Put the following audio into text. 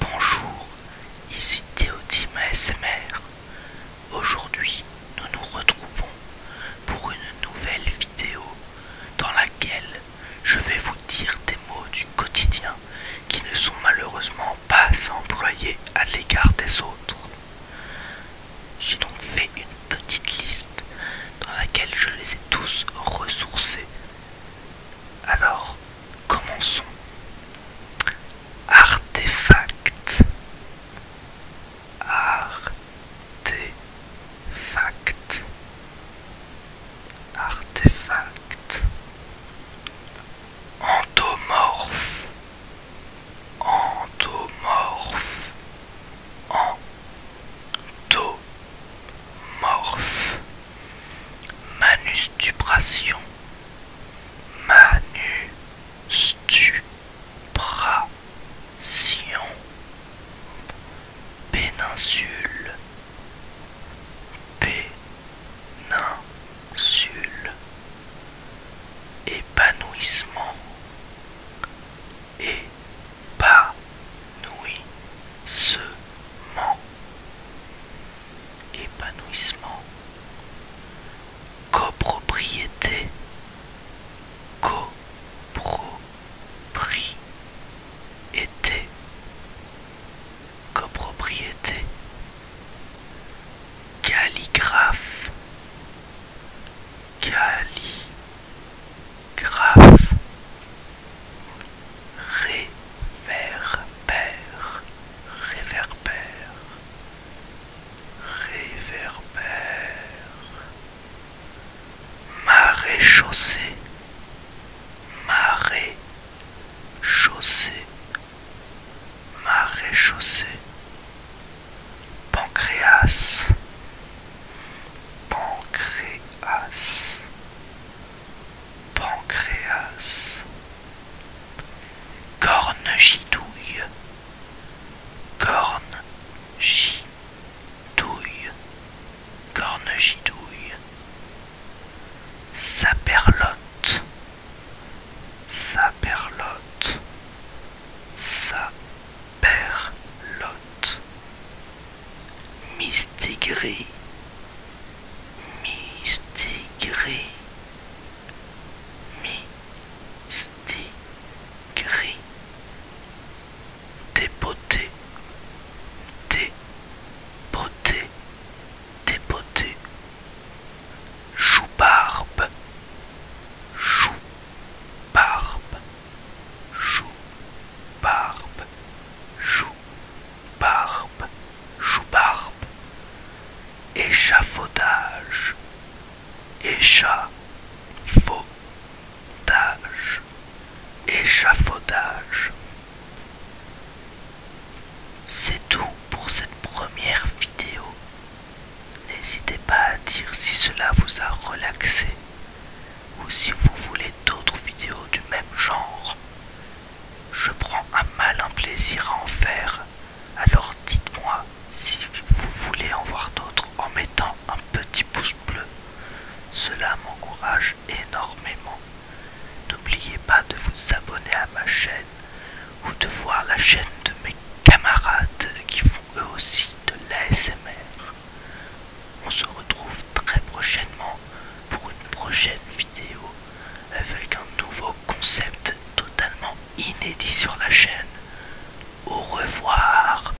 Bonjour, ici Théodime ASMR. Aujourd'hui, nous nous retrouvons pour une nouvelle vidéo dans laquelle je vais vous dire des mots du quotidien qui ne sont malheureusement pas à employés à l'égard des autres. J'ai donc fait une petite liste dans laquelle je les ai tous ressourcés alors, commençons. Artefact. Artefact. Artefact. Antomorphe Antomorphe Morphe, manustupration, manustupration, péninsule, péninsule, épanouissement, épanouissement épanouissement copropriété copropriété copropriété calligraphe Graf Réverbère Réverbère Réverbère Marée chaussée Marée chaussée maréchaussée, pancréas, pancréas, pancréas, corne gitouille, corne gitouille, corne gitouille, saperlotte, sa perlotte. Sa perlotte. Mistigris. Mistigris. Mistigris. Dépoté. Dépoté. Dépoté, chou-barbe, chou-barbe, chou-barbe, chou chou-barbe, échafaudage, échafaudage, échafaudage. C'est tout pour cette première vidéo. N'hésitez pas à dire si cela vous a relaxé ou si vous voulez d'autres vidéos du même genre. Je prends un malin plaisir à en faire, alors dites-moi si vous voulez en voir d'autres en mettant un petit pouce bleu. Cela m'encourage énormément. N'oubliez pas de vous abonner à ma chaîne ou de voir la chaîne de mes camarades qui font eux aussi de l'ASMR. On se retrouve très prochainement pour une prochaine vidéo avec un nouveau concept totalement inédit sur la chaîne. Au revoir